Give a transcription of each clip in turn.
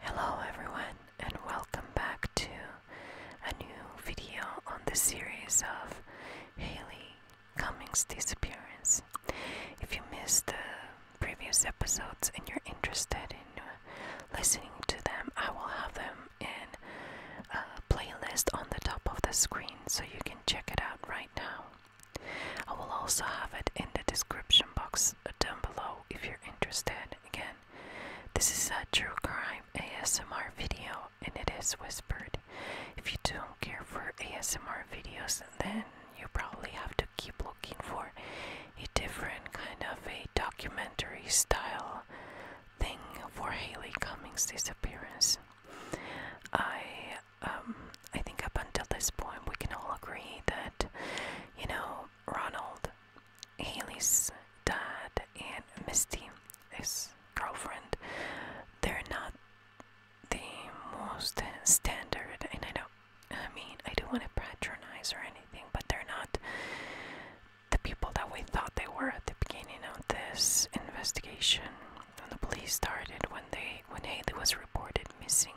Hello everyone and welcome back to a new video on the series of Haley Cummings' disappearance. If you missed the previous episodes and you're interested in listening to them, I will have them in a playlist on the top of the screen so you can check it out right now. I will also have it in the description box down below if you're interested. Again, this is a true crime ASMR video and it is whispered. If you don't care for ASMR videos, then you probably have to keep looking for a different kind of a documentary style thing for Haley Cummings' disappearance. I um I think up until this point we can all agree that you know Ronald, Haley's dad, and Misty, his girlfriend, they're not the most standard, and I don't, I mean, I don't want to patronize or anything, but they're not the people that we thought they were at the beginning of this investigation. When the police started, when they, when Haley was reported missing,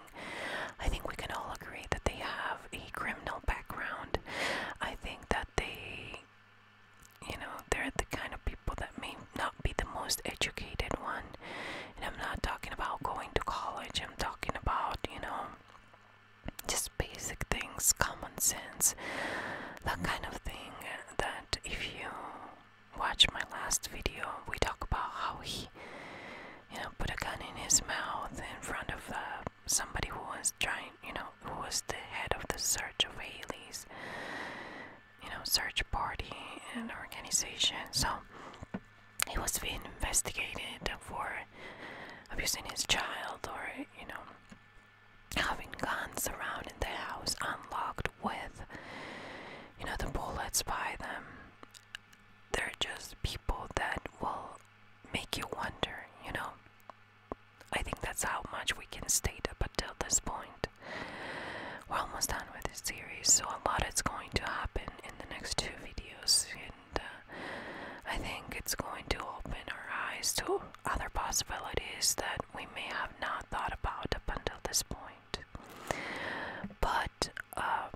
I think we can all agree that they have a criminal background. I think that they, you know, they're the kind of people that may not be the most educated one. And I'm not talking about going to college, I'm talking about, you know, just basic things, common sense, that kind of thing. That if you watch my last video, we talk about how he you know, put a gun in his mouth in front of uh, somebody who was trying, you know, who was the head of the search of Haley's, you know, search party and organization. So he was being investigated for abusing his child or, you know, having guns around in the house unlocked with, you know, the bullets by them. They're just people that will make you wonder, you know. I think that's how much we can state up until this point. We're almost done with this series, so a lot is going to happen in the next two videos, and uh, I think it's going to open our eyes to other possibilities that we may have not thought about up until this point. But um,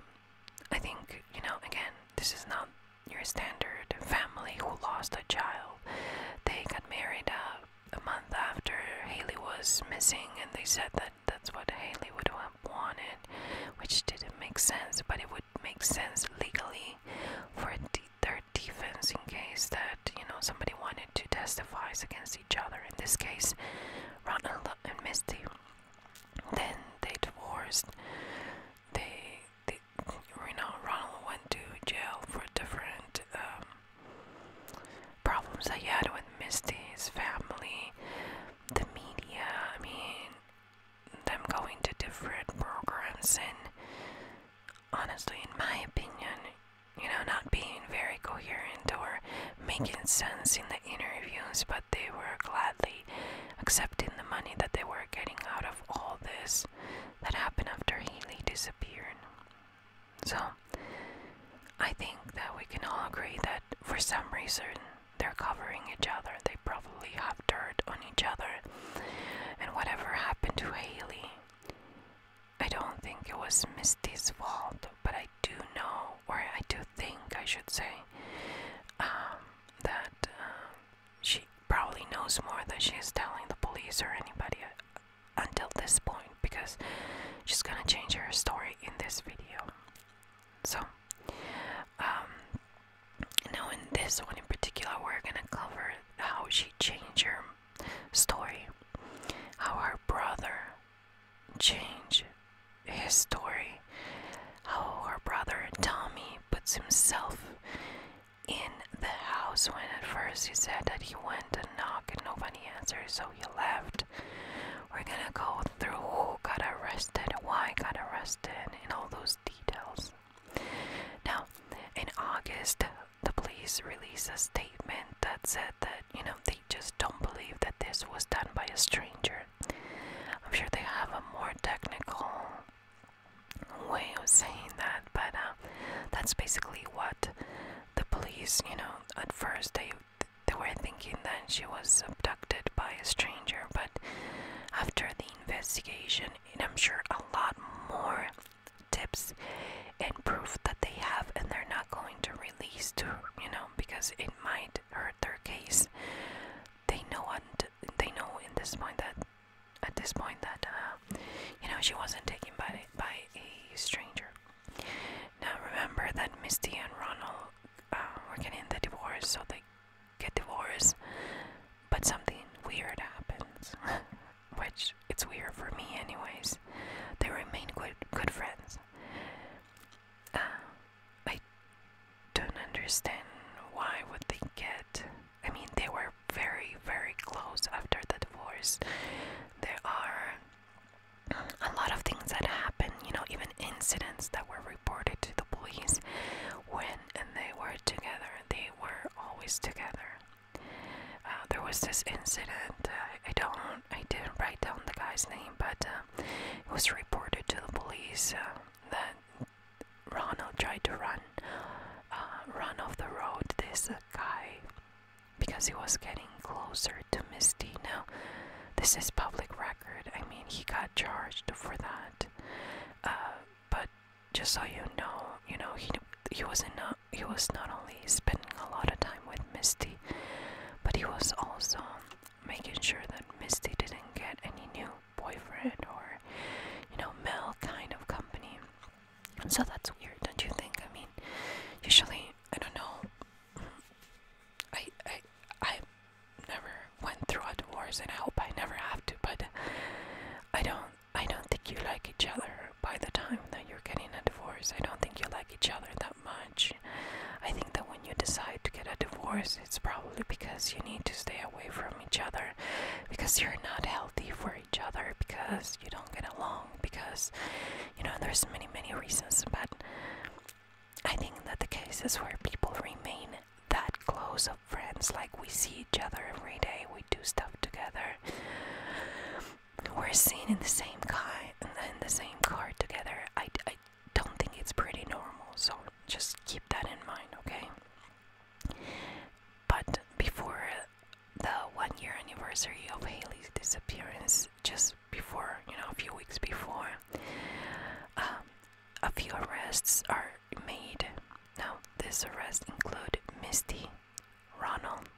I think, you know, again, this is not your standard family who lost a child. They got married uh, a month after Haley was missing, and they said that that's what Haley would have wanted, which didn't make sense, but it would make sense legally for their defense in case that, you know, somebody wanted to testify against each other. In this case, Ronald and Misty then they divorced. They, you know, Ronald went to jail for different um, problems he had with Misty's family, the media. I mean, them going to different programs and honestly, in my opinion, you know, not being very coherent or making sense in the interviews, but they were gladly accepting the money that they were getting out of all this that happened after Haley disappeared. So, I think that we can all agree that for some reason they're covering each other. They probably have dirt on each other. And whatever happened to Haley, I don't think it was Misty's fault, but I do know, or I do think, I should say, um, that uh, she probably knows more than she is telling the police or anybody until this point because she's gonna change her story in this video. So, um, now in this one in particular, we're gonna cover how she changed her story, how her brother changed his story how her brother Tommy puts himself in the house when at first he said that he went and knocked and nobody answered, so he left. We're gonna go through who got arrested, why got arrested, and all those details. Now, in August, the police released a statement that said that, you know, they just don't believe that this was done by a stranger I'm sure they have a more technical way of saying that, but uh, that's basically what the police, you know, at first they they were thinking that she was abducted by a stranger, but after the investigation, and I'm sure a lot more tips and proof that they have, and they're not going to release to, you know, because it might hurt their case. They know what they know at this point that at this point that uh, you know she wasn't taken by by a stranger. Now remember that Misty and Ronald uh, were getting the divorce, so they get divorced, but something weird happens, which it's weird for me anyways. They remain good good friends. Uh, I don't understand why would they get. I mean, they were very, very close after the divorce. There are a lot of things that happen, you know, even incidents that were reported to the police when and they were together. They were always together. Uh, there was this incident. Uh, I don't. I didn't write down the guy's name, but uh, it was reported to the police that Ronald tried to run, uh, run off the road. This guy, because he was getting closer to Misty. Now, this is public record. I mean, he got charged for that. Uh, but just so you know, you know he he was not he was not only spending a lot of time with Misty, but he was also making sure that Misty didn't get any new boyfriend or, you know, male kind of company. so that's weird, don't you think? I mean, usually, I don't know. I, I, I never went through a divorce, and I hope I never have to. But I don't, I don't think you like each other by the time that you're getting a divorce. I don't think you like each other that much. I think that when when you decide to get a divorce, it's probably because you need to stay away from each other, because you're not healthy for each other, because you don't get along, because you know there's many many reasons. But I think that the cases where people remain that close of friends, like we see each other every day, we do stuff together, we're seen in the same car, together don't think it's pretty normal, so just keep that in mind, okay? But before the one year anniversary of Haley's disappearance, just before, you know, a few weeks before, um, a few arrests are made. Now, these arrests include Misty, Ronald,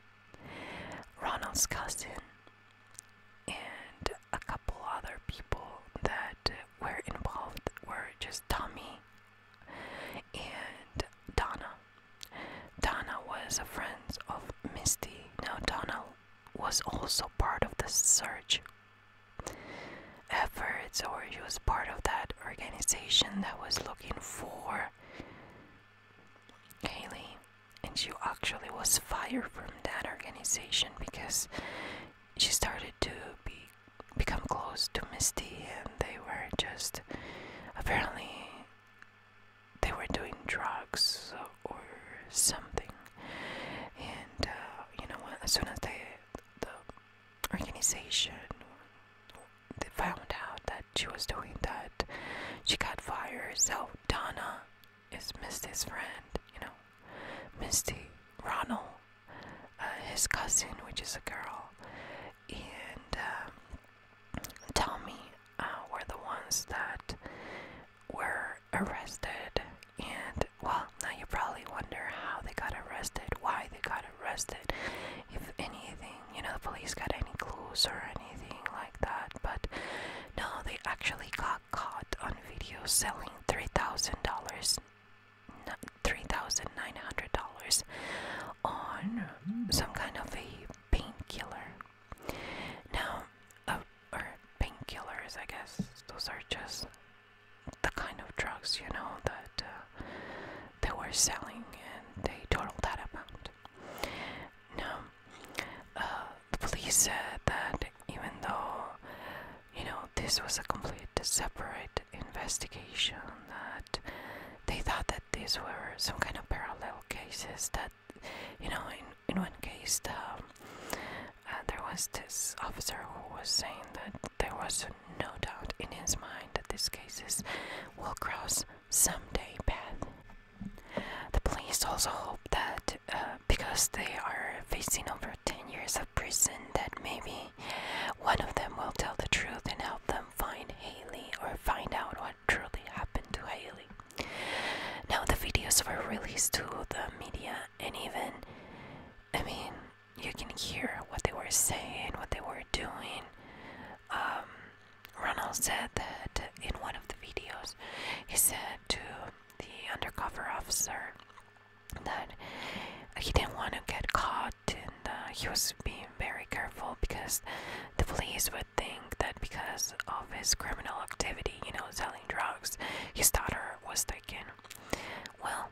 Ronald's cousin, and a couple other people that uh, were involved were just Tommy and Donna. Donna was a friend of Misty. Now, Donna was also part of the search efforts, or she was part of that organization that was looking for Haley. And she actually was fired from that organization because she started to be become close to Misty, and they were just apparently they were doing drugs or something. And uh, you know, as soon as they the organization found out that she was doing that, she got fired. So Donna is Misty's friend, you know, Misty Ronald uh, his cousin, which is a girl, and uh, Tommy uh, were the ones that were arrested. And well, now you probably wonder how they got arrested, why they got arrested, if anything, you know, the police got any clues or anything like that. But no, they actually got caught on video selling $3,000 $3,900 on some kind of a painkiller. Now, uh, or painkillers, I guess, those are just the kind of drugs, you know, that uh, they were selling and they totaled that amount. Now, uh, the police said that even though you know, this was a complete separate investigation that they thought that these were some kind of parallel cases that, you know, in, in one case the, uh, there was this officer who was saying that there was no doubt in his mind that these cases will cross someday path. The police also hope that uh, because they are facing over 10 years of prison, that maybe one of them will tell the truth and help them find Haley or find out what truly happened to Haley. Now, the videos were released to the media, and even, I mean, you can hear what they were saying, what they were doing. Um, Ronald said that in one of the videos, he said to the undercover officer, that he didn't want to get caught and uh, he was being very careful because the police would think that because of his criminal activity, you know, selling drugs, his daughter was taken. Well,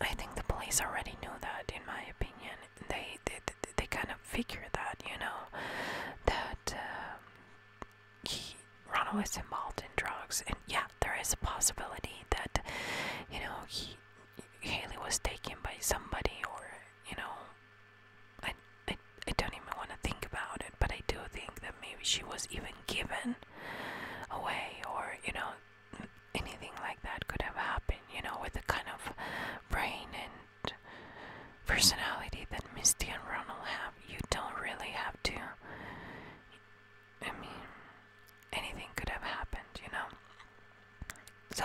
I think the police already knew that, in my opinion. They they, they kind of figured that, you know, that uh, he Ronald was involved in drugs, and yeah, there is a possibility that you know he Haley was taken by somebody, or you know, I I, I don't even want to think about it, but I do think that maybe she was even given away, or you know, anything like that could have happened. You know, with the kind of brain and personality that Misty and Ronald have, you don't really have to I mean, anything could have happened, you know. So,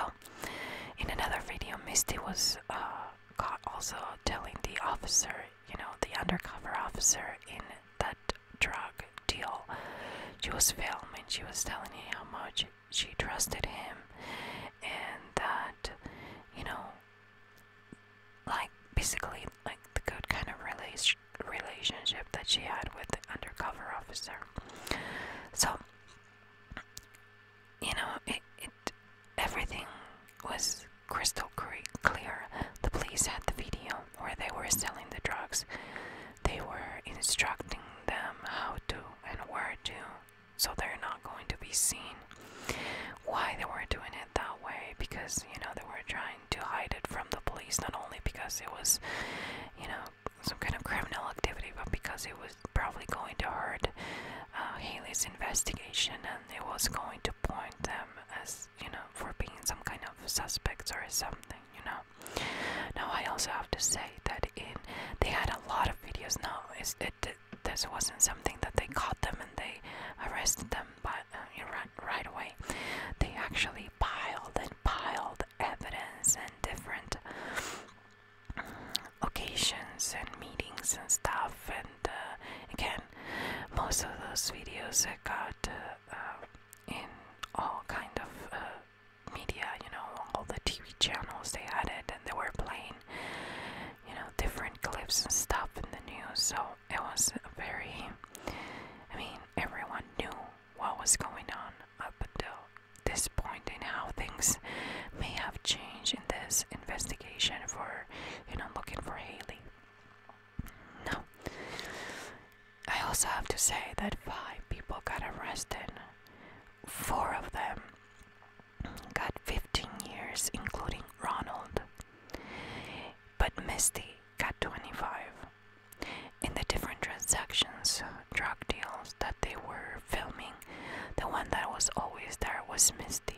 in another video, Misty was uh, also telling the officer, you know, the undercover officer in that drug deal. She was filming, she was telling him how much she trusted him and that, you know, like basically, like the good kind of relationship relationship that she had with the undercover officer. So, you know, it, it everything was crystal clear. The police had the video where they were selling the drugs. They were instructing them how to and where to, so they're not going to be seen. Why they were doing it that way? Because you know they were trying trying to hide it from the police, not only because it was, you know, some kind of criminal activity, but because it was probably going to hurt uh, Haley's investigation and it was going to point them as, you know, for being some kind of suspects or something, you know. Now, I also have to say that in they had a lot of videos. Now, it, it, this wasn't something that they caught them and they arrested them by right, away. They actually piled and piled evidence and different locations and meetings and stuff. And uh, again, most of those videos I got uh, uh, in all kind of media, you know, all the TV channels they had it, and they were playing, you know, different clips and stuff in the news. So it was very. I mean, everyone knew what was going on up until this point and how things may have changed in this investigation for, you know, looking for Haley. No. I also have to say that five people got arrested. Four of them got 15 years, including Ronald. But Misty got 25 in the different transactions, drug deals that they were filming, the one that was always there was Misty.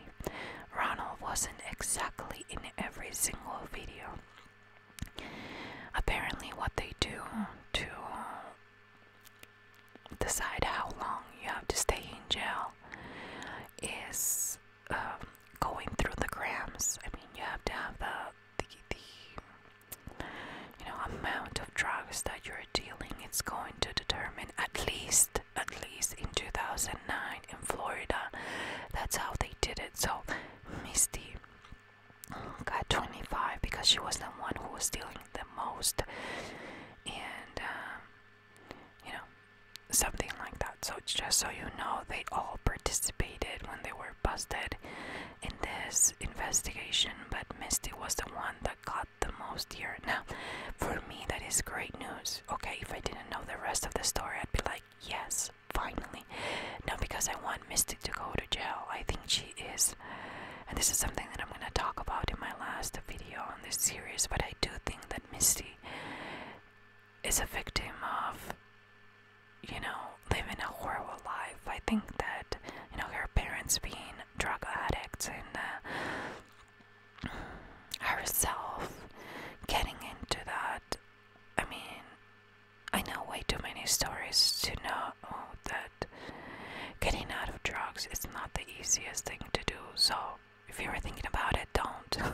Ronald wasn't exactly in every single video. Apparently, what they do to decide how long you have to stay in jail is going through the grams. I mean, you have to have the, the you know amount of drugs that you're dealing. It's going to determine at least at least in 2009 in Florida. That's how they did it. So Misty got 25 because she was the one who was dealing the most, and um, you know something like that. So it's just so you know, they all participated when they were busted in this investigation, but Misty was the one that got the most here. Now, for me, that is great news. Okay, if I didn't know the rest of the story, I'd be like, yes, finally. Now, because I want Misty to go to jail. I think she is, and this is something that I'm going to talk about in my last video on this series, but I do think that Misty is a victim of you know, living a horrible life. I think that, you know, her parents being drug addicts and uh, herself getting into that. I mean, I know way too many stories to know that getting out of drugs is not the easiest thing to do. So, if you are thinking about it, don't.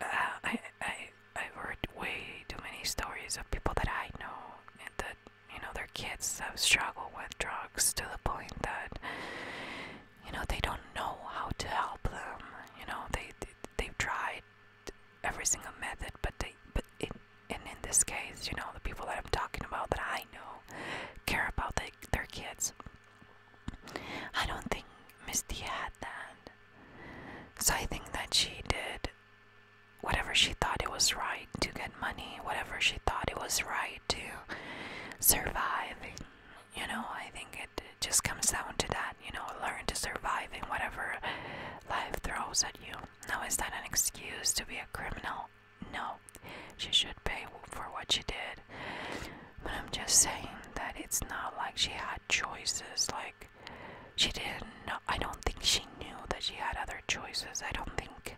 uh, I, I, I've heard way too many stories of people that I know and that, you know, their kids have struggled with drugs to the point that, you know, they don't know how to help them. You know, they, they they've tried every single method, but they, but it, and in this case, you know, the people that I'm talking about that I know care about they, their kids. I don't think Misty had that. So I think that she did whatever she thought it was right to get money, whatever she thought it was right to survive. You know, I think it just comes down to that, you know, learn to survive in whatever life throws at you. Now, is that an excuse to be a criminal? No. She should pay for what she did. But I'm just saying that it's not like she had choices. Like, she didn't I don't think she knew that she had other choices. I don't think.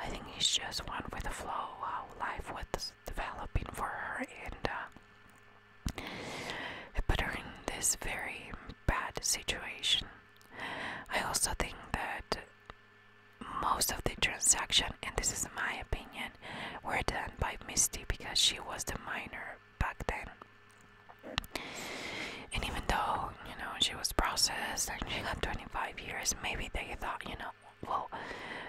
I think she just went with the flow, how life was developing for her, and uh, it put her in this very bad situation. I also think that most of the transaction, and this is my opinion, were done by Misty because she was the minor back then. And even though, you know, she was processed and she got 25 years, maybe they thought, you know, well,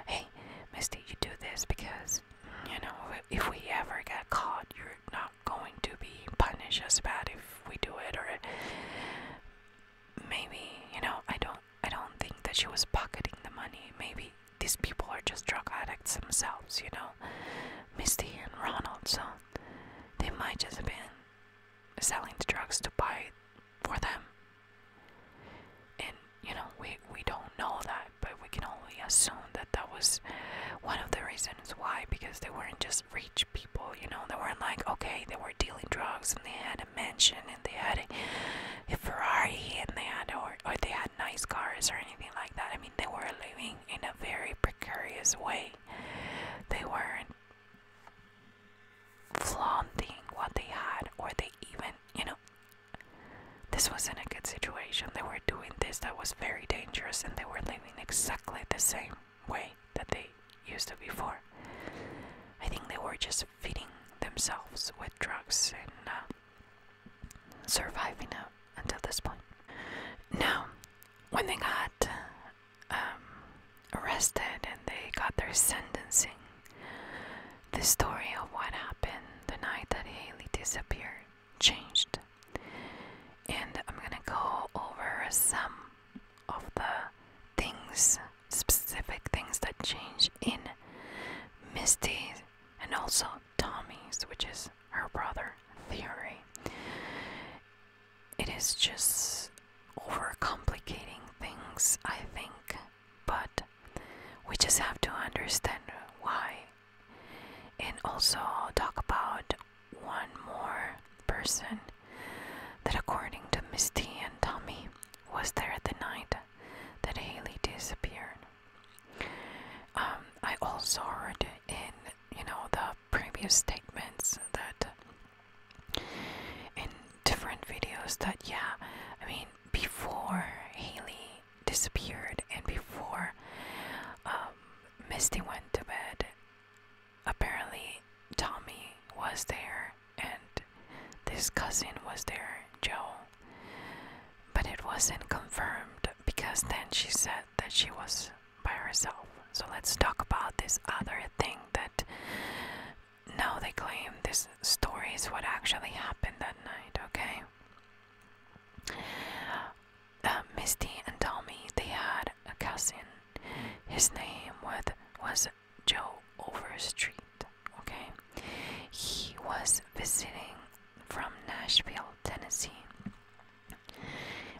hey, Misty, you do this because, you know, if we ever get caught, you're not going to be punished as bad if we do it, or maybe, you know, I don't, I don't think that she was pocketing the money. Maybe these people are just drug addicts themselves, you know, Misty and Ronald, so they might just have been selling the drugs to buy for them. And you know, we we don't know that, but we can only assume that that was one of the reasons why, because they weren't just rich people, you know, they weren't like okay, they were dealing drugs and they had a mansion and they had a, Ferrari and they had or or they nice cars or anything like that. I mean, they were living in a very precarious way. They weren't flaunting what they had, or they even, you know, this wasn't a good situation. They were doing this that was very dangerous, and they were living exactly the same way that they used to before. I think they were just feeding themselves with drugs and. Uh, surviving up until this point. Now, when they got um, arrested and they got their sentencing, the story of what happened the night that Haley disappeared changed. And I'm gonna go over some of the things, specific things that changed in Misty and also Tommy's, which is her brother theory. It is just overcomplicating things, I think, but we just have to understand why and also talk about one more person that according to Misty and Tommy was there the night that Haley disappeared. Um, I also heard in you know the previous statements that in different videos that yeah, I mean before Haley disappeared and before um, Misty went to bed, apparently Tommy was there and this cousin was there, Joe. But it wasn't confirmed because then she said that she was by herself. So let's talk about this other thing that now they claim this story is what actually happened that night, okay? Uh, Misty and Tommy, they had a cousin. His name was, was Joe Overstreet, okay? He was visiting from Nashville, Tennessee.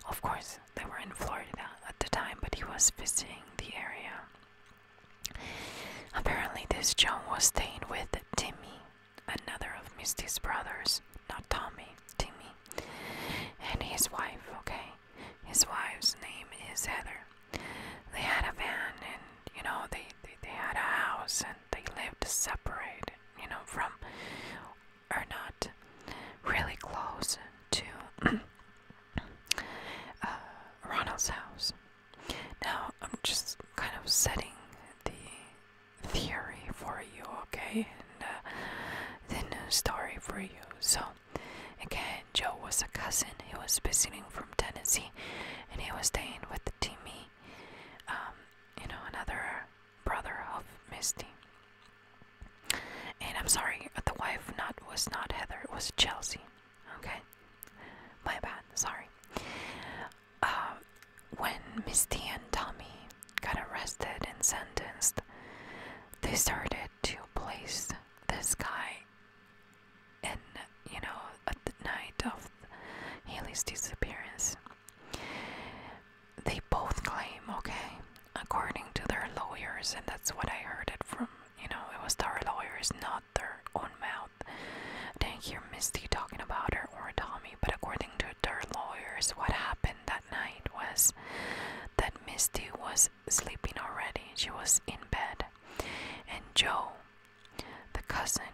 Of course, they were in Florida at the time, but he was visiting the area. Apparently, this John was staying with Timmy, another of Misty's brothers, not Tommy, Timmy, and his wife, okay? His wife's name is Heather. They had a van and you know, they, they, had a house and they lived separate, you know, from or not really close to uh, Ronald's house. Now, I'm just kind of setting the theory for you, okay? And uh, the new story for you. So, again, Joe was a cousin. He was visiting from Tennessee and he was staying with Timmy. Um, you know, another brother of Misty. And I'm sorry, the wife not was not Heather, it was Chelsea. Okay, my bad. Sorry. Uh, when Misty and Tommy got arrested and sentenced, they started to place this guy in you know, at the night of Haley's disappearance. They both claim, okay, according to their lawyers, and that's what I heard it from, you know, it was their lawyers, not their own mouth. I did hear Misty talking about her or Tommy, but according to their lawyers, what happened that night was that Misty was sleeping already. She was in bed, and Joe the cousin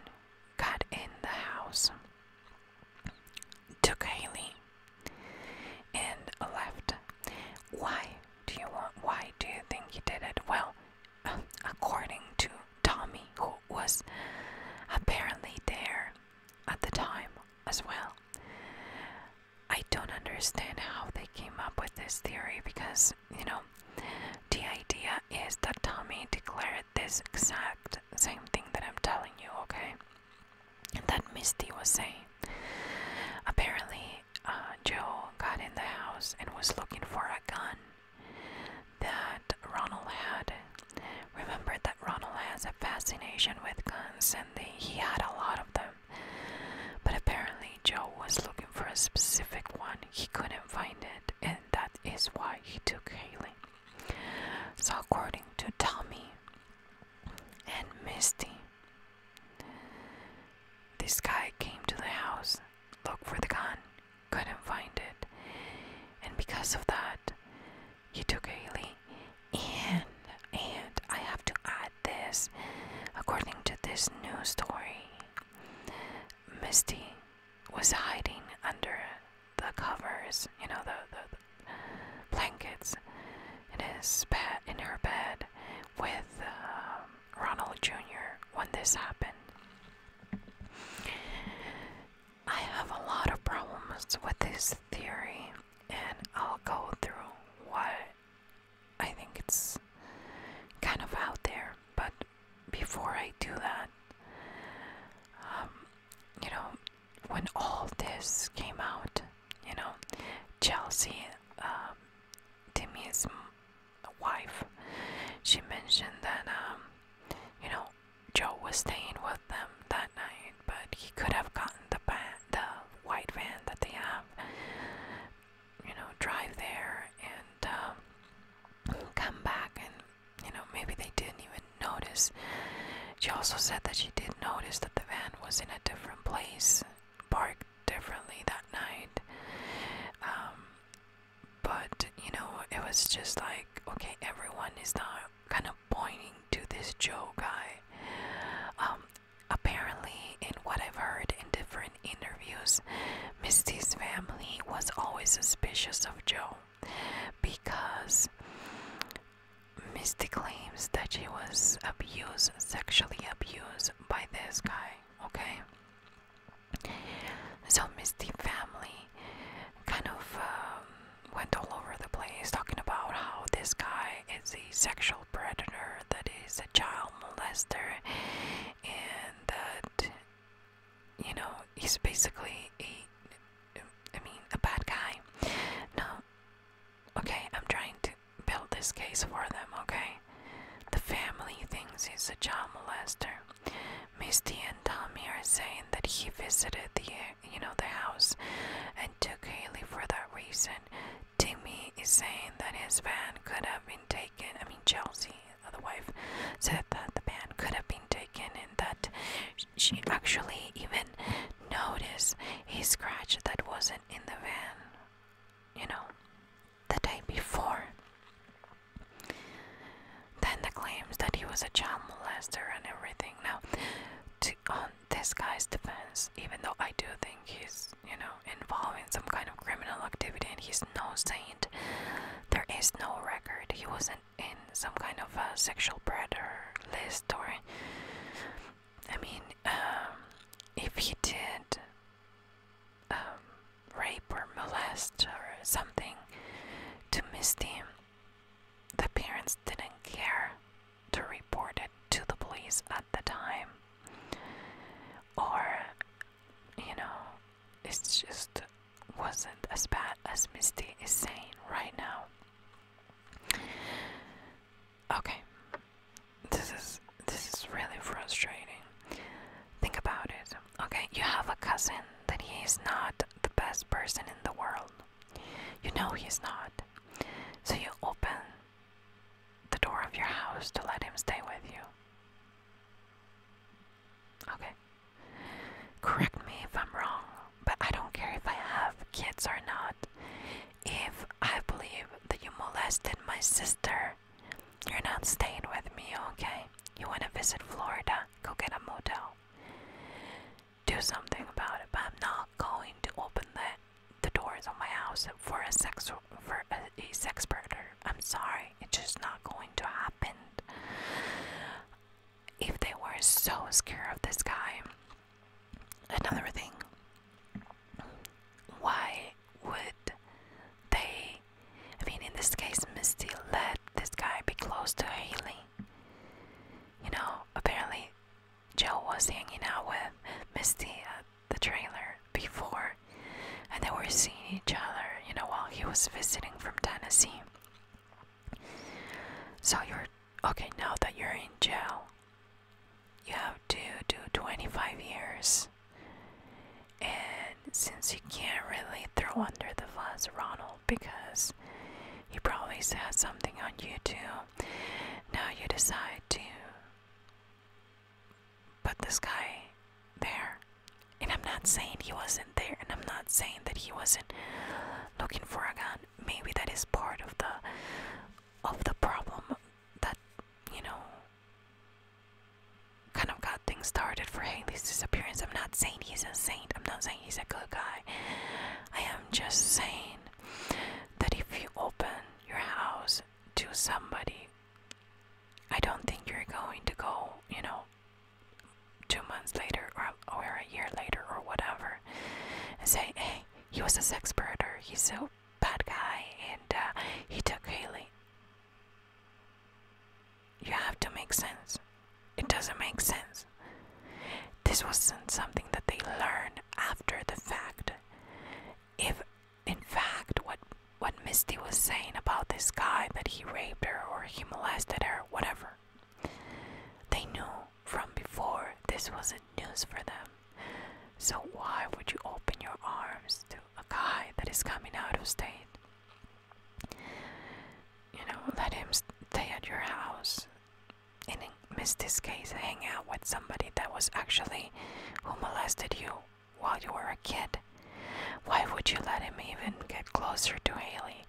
got in the house, took Haley, and left. Why do you want? Why do you think he did it? Well, according to Tommy, who was apparently there at the time as well. I don't understand how they came up with this theory because, you know, the idea is that Tommy declared this exact same thing that I'm telling you, okay? That Misty was saying. Apparently, uh, Joe got in the house and was looking for a gun that Ronald had. Remember that Ronald has a fascination with guns and he had a lot of them. But apparently, Joe was looking for a specific one, he couldn't find it and that is why he took Haley. So, according to Tommy and Misty, this guy came to the house, looked for the gun, couldn't find it, and because of that, he took Haley. And and I have to add this, according to this news story, Misty was hiding under the covers, you know, the, the, blankets in his bed, in her bed, with um, Ronald Jr. when this happened. I have a lot of problems with this theory, and I'll go through what I think it's kind of out there, but before I do that, um, you know, when all this came out, you know, Chelsea, um, Timmy's wife, she mentioned that, um, you know, Joe was staying with them that night, but he could have gotten the van, the white van that they have, you know, drive there and um, come back and you know, maybe they didn't even notice. She also said that she did notice that the van was in a different place, parked differently that night. Um, but, you know, it was just like, okay, everyone is not kind of pointing to this Joe guy. Um, apparently, in what I've heard in different interviews, Misty's family was always suspicious of Joe because Misty claims that she was abused, sexually abused by this guy, okay? So Misty family kind of um, went all over the place talking about how this guy is a sexual predator, that is a child molester, and that you know, he's basically a, I mean, a bad guy. Now, okay, I'm trying to build this case for them, okay? The family thinks he's a child molester. Misty and Tommy are saying that he visited the, you know, the house and took Haley for that reason. Timmy is saying that his van could have been taken, I mean, Chelsea the wife said that the man could have been taken and that she actually even noticed a scratch that wasn't in the van, you know, the day before. Then the claims that he was a child molester and everything. Now, to, on this guy's defense, even though I do think he's, you know, involved in some kind of criminal activity and he's no saint, there is no record. He was not in some kind of a sexual predator list or I mean um, if he did um, rape or molest or something to Misty the parents didn't care to report it to the police at the time or you know it's just wasn't as bad as Misty is saying right now. Okay. This is this is really frustrating. Think about it. Okay, you have a cousin that he is not the best person in the world. You know he's not. So you open the door of your house to let him stay with you. Okay. Correct me if I'm wrong, but I don't care if I have kids or not. If I believe that you molested my sister, you're not staying with me, okay? You want to visit Florida? Go get a motel. Do something about it, but I'm not going to open the, the doors of my house for a sex for a sex predator. I'm sorry, it's just not going to happen if they were so scared of this guy. Another thing, why would they, I mean, in this case, Misty let this guy be close to Haley? You know, apparently Joe was hanging out with Misty at the trailer before, and they were seeing each other, you know, while he was visiting from Tennessee. So you're okay now that you're in jail. You have to do 25 years. And since you can't really throw under the bus Ronald because he probably said something on YouTube, now you decide to put this guy there and I'm not saying he wasn't there, and I'm not saying that he wasn't looking for a gun. Maybe that is part of the of the problem that you know kind of got things started for Haley's disappearance. I'm not saying he's insane. I'm not saying he's a good guy. I am just saying that if you open your house to somebody, I don't think you're going to go, you know, two months later or, or a year later or whatever and say, hey, he was a sex predator, he's a bad guy, and uh, he took Haley. You have to make sense. It doesn't make sense. This wasn't something that they learned after the fact. If, in fact, what what Misty was saying about this guy that he raped her or he molested her whatever. They knew from before this wasn't news for them. So why would you open your arms to a guy that is coming out of state? You know, let him stay at your house and in Misty's case hang out with somebody that was actually who molested you while you were a kid. Why would you let him even get closer to Haley?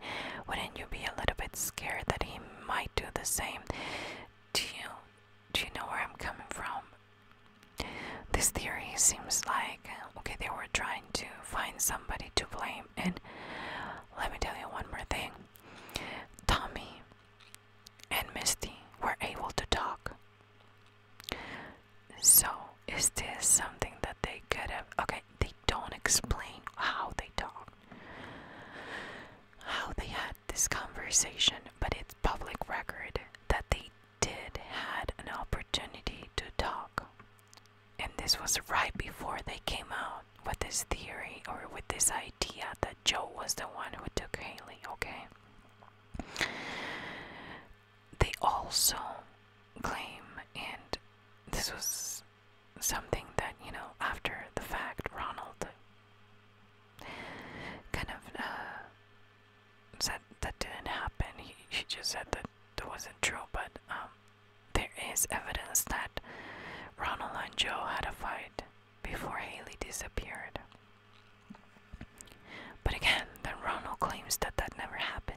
Wouldn't you be a little bit scared that he might do the same? to you, do you know where I'm coming from? This theory seems like okay, they were trying to find somebody to blame. And let me tell you one more thing Tommy and Misty were able to talk. So, is this something that they could have? Okay, they don't explain how they talk, how they had this conversation, but it's public record that they did had an opportunity to talk. And this was right before they came out with this theory or with this idea that Joe was the one who took Haley, okay? they also claim, and this was something that, you know, after the fact, Ronald kind of uh, said that didn't happen. He, he just said that that wasn't true, but um, there is evidence that Ronald and Joe had a fight before Haley disappeared. But again, then Ronald claims that that never happened.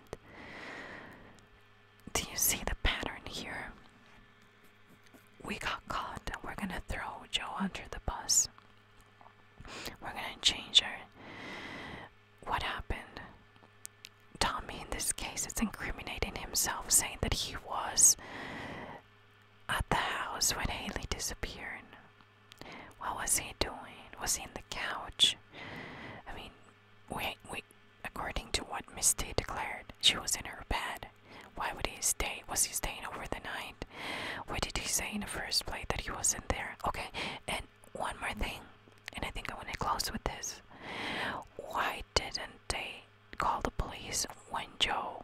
Do you see the pattern here? We got caught and we're gonna throw Joe under the bus. We're gonna change her. What happened? Tommy, in this case, it's incriminating himself, saying that he was at the house when Haley disappeared. What was he doing? Was he in the couch? I mean, Wait, wait. According to what Miss Day declared, she was in her bed. Why would he stay? Was he staying over the night? Why did he say in the first place that he wasn't there? Okay, and one more thing, and I think I want to close with this. Why didn't they call the police when Joe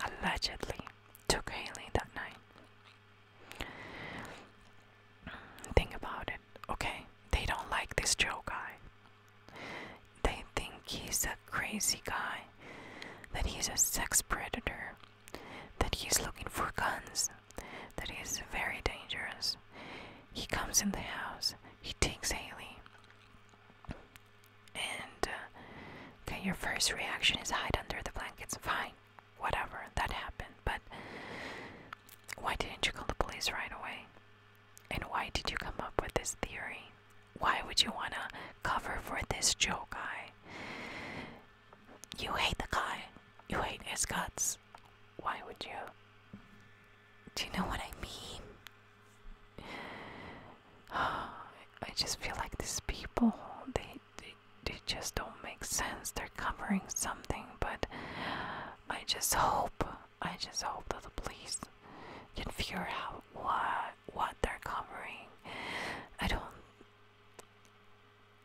allegedly took Haley that night? Think about it okay? They don't like this Joe guy. They think he's a crazy guy, that he's a sex predator, that he's looking for guns, that he's very dangerous. He comes in the house, he takes Haley. And, uh, okay, your first reaction is hide under the blankets. Fine, whatever, that happened. But why didn't you call the police right away? And why did you come up with this theory? Why would you want to cover for this Joe guy? You hate the guy. You hate his guts. Why would you? Do you know what I mean? I just feel like these people, they, they, they just don't make sense. They're covering something, but I just hope, I just hope that the police can figure out what what they're covering. I don't.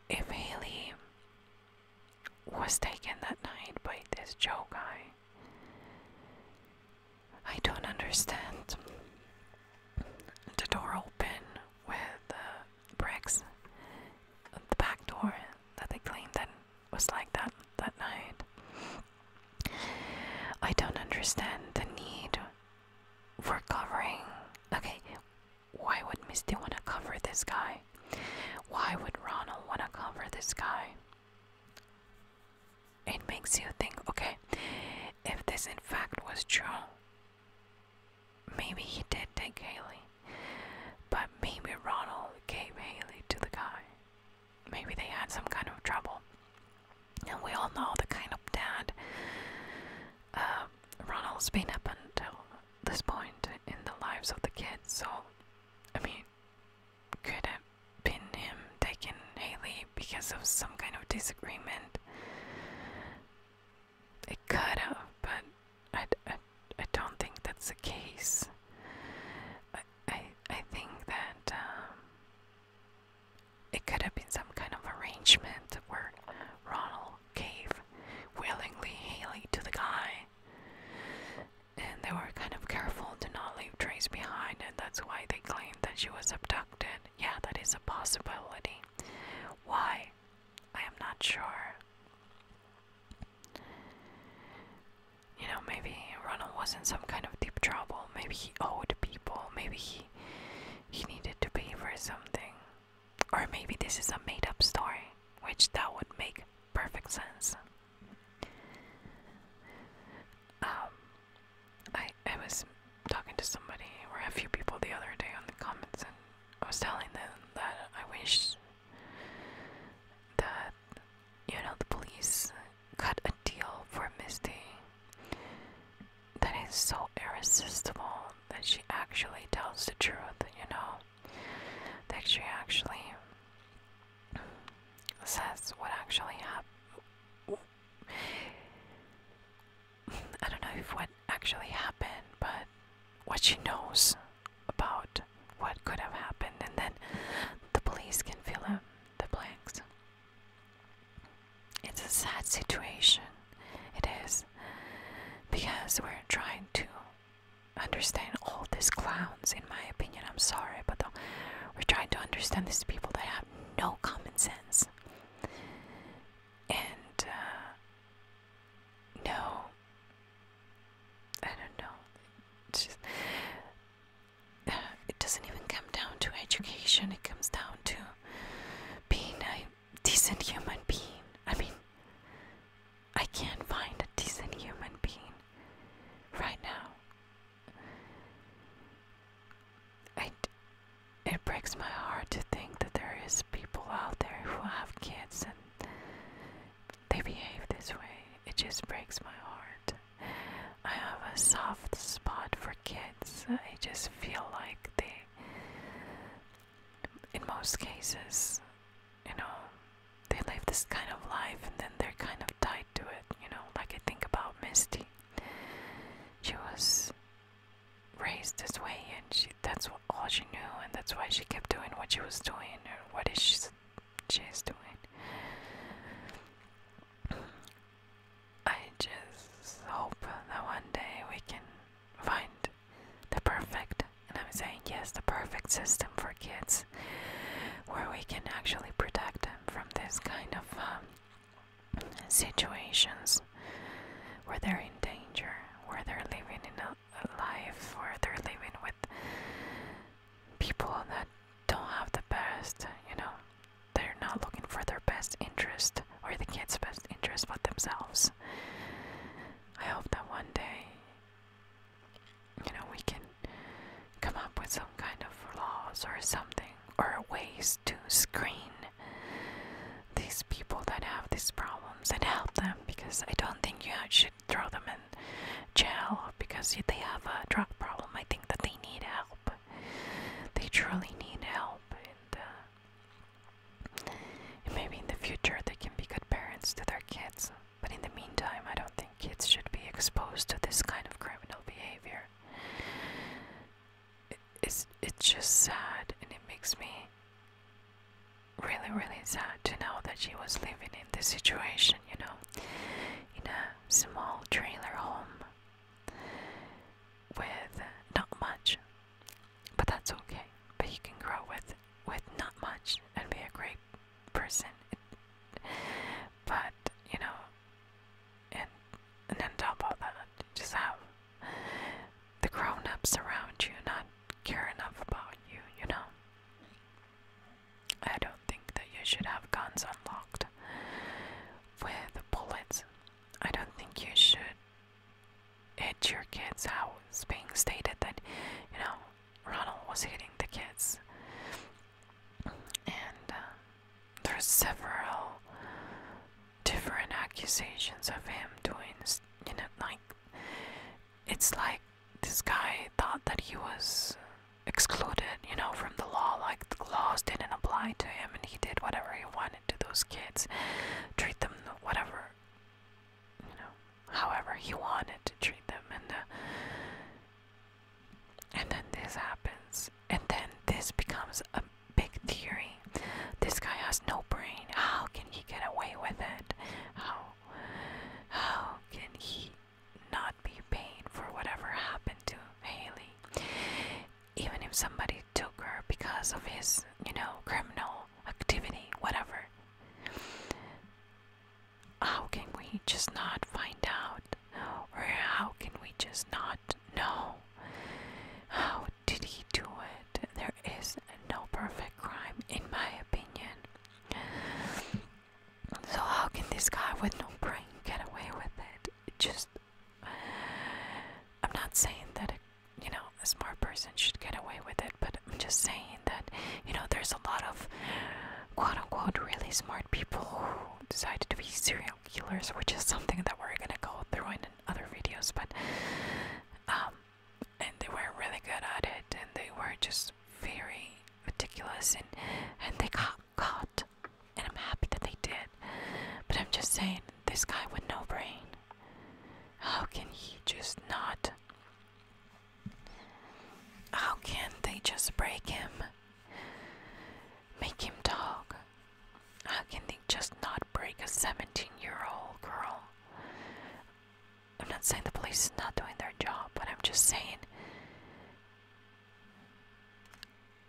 If Haley was taken that night by this Joe guy, I don't understand. The door open with bricks. The back door that they claimed that was like that that night. I don't understand the need for covering. Okay, why would Misty want to cover this guy? Why would Ronald want to cover this guy? It makes you think okay, if this in fact was true, maybe he did take Haley. But maybe Ronald gave Haley to the guy. Maybe they had some kind of trouble. And we all know the kind of dad uh, Ronald's been up until this point in the lives of the kids, so I mean, could have been him taking Haley because of some kind of disagreement. It could have, but I, I, don't think that's the case. I, I, I think that um, it could have been some kind of arrangement where Ronald gave willingly Haley to the guy. And they were kind of careful to not leave trace behind, and that's why they claimed that she was abducted. Yeah, that is a possibility. Why? I am not sure. You know, maybe Ronald was in some kind of deep trouble. Maybe he owed people. Maybe he he needed to pay for something. Or maybe this is a made up story, which that would make perfect sense. Um I I was talking to somebody or a few people the other day on the comments and I was telling them that I wish that you know the police cut a deal for Misty that is so irresistible that she actually tells the truth, you know, that she actually says what actually happened. I don't know if what actually happened, but what she knows about what could have happened, and then the police can fill in the blanks. It's a sad situation, it is, because we're trying to understand all these clowns, in my opinion. I'm sorry, but we're trying to understand these people that have no common sense and uh, no I don't know. it doesn't even come down to education, it comes down to being a decent human being. I mean, I can't find a decent human being right now. I, it breaks my heart to think that there is people out there who have kids and they behave this way, it just breaks my heart. I have a soft spot for kids. I just feel like they, in most cases, you know, they live this kind of life and then they're kind of tied to it, you know. Like I think about Misty. She was raised this way and she that's all she knew, and that's why she kept doing what she was doing, or what is she she's doing. I just hope that one day we can find the perfect, and I'm saying yes, the perfect system for kids, where we can actually protect them from this kind of um, situations where they're in danger, where they're living in a life or they're living with people that don't have the best, you know, they're not looking for their best interest or the kids' best interest but themselves. I hope that one day, you know, we can come up with some kind of laws or something or ways to screen these people that have these problems and help them because I don't think you should throw them in jail because they have a drug problem. I think that they need help. They truly need help. Uh, and, maybe in the future they can be good parents to their kids. But in the meantime, I don't think kids should be exposed to this kind of criminal behavior. it's, it's just sad and it makes me really, really sad to know that she was living in this situation, you know, in a small trailer home with not much. But that's okay. But you can grow with with not much and be a great person. But you know, and and on top of that, just have the grown ups around you not care enough about you, you know. I don't think that you should have guns unlocked with bullets. I don't think you should. Hit your kids, how it's being stated that you know Ronald was hitting the kids, and uh, there's several different accusations of him doing, you know, like it's like this guy thought that he was excluded, you know, from the law. Like the laws didn't apply to him, and he did whatever he wanted to those kids, treat them whatever, you know, however he wanted to treat them, and uh, then this happens, and then this becomes a big theory. This guy has no brain. How can he get away with it? How? How can he not be paying for whatever happened to Haley? Even if somebody took her because of his, you know, criminal activity, whatever. How can we just not find out? Or how can we just not know? How did he do it? There is no perfect crime, in my opinion. So how can this guy with no brain get away with it? just I'm not saying that it, you know a smart person should get away with it, but I'm just saying that you know there's a lot of quote unquote really smart people who decided to be serial killers, which is something that we're gonna go through in other videos. But um, and they were really good at it and they were just very meticulous and and they got caught and I'm happy that they did but I'm just saying this guy with no brain how can he just not how can they just break him make him talk how can they just not break a 17 year old girl I'm not saying the police is not doing their job, but I'm just saying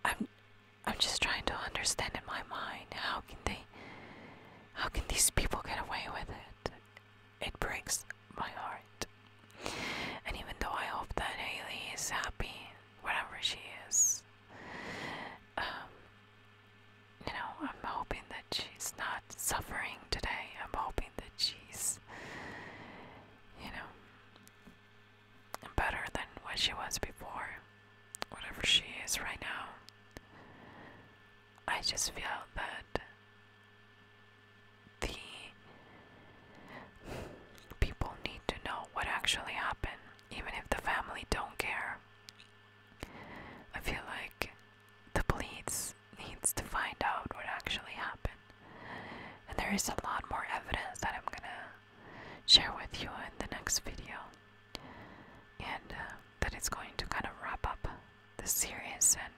I'm I'm just trying to understand in my mind how can they how can these people get away with it? It breaks my heart. And even though I hope that Haley is happy wherever she is, um, you know, I'm hoping that she's not suffering today. I'm hoping that she's, you know, better than what she was before, whatever she is right now. I just feel that the people need to know what actually happened, even if the family don't care. I feel like the police needs to find out what actually happened. And there is a lot more evidence that I'm gonna share with you in the next video. And uh, that is going to kind of wrap up the series, and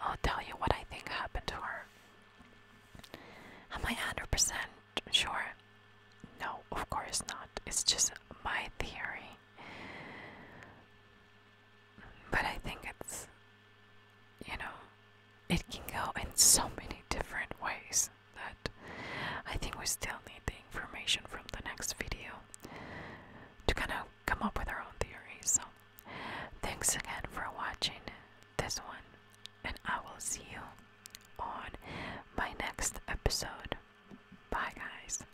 I'll tell you what I think happened to her. Am I 100% sure? No, of course not. It's just my theory. But I think it's, you know, it can go in so many different ways that I think we still need the information from the next video to kind of come up with our own theories. So, thanks again for watching this one, and I will see you on my next episode. Bye, guys.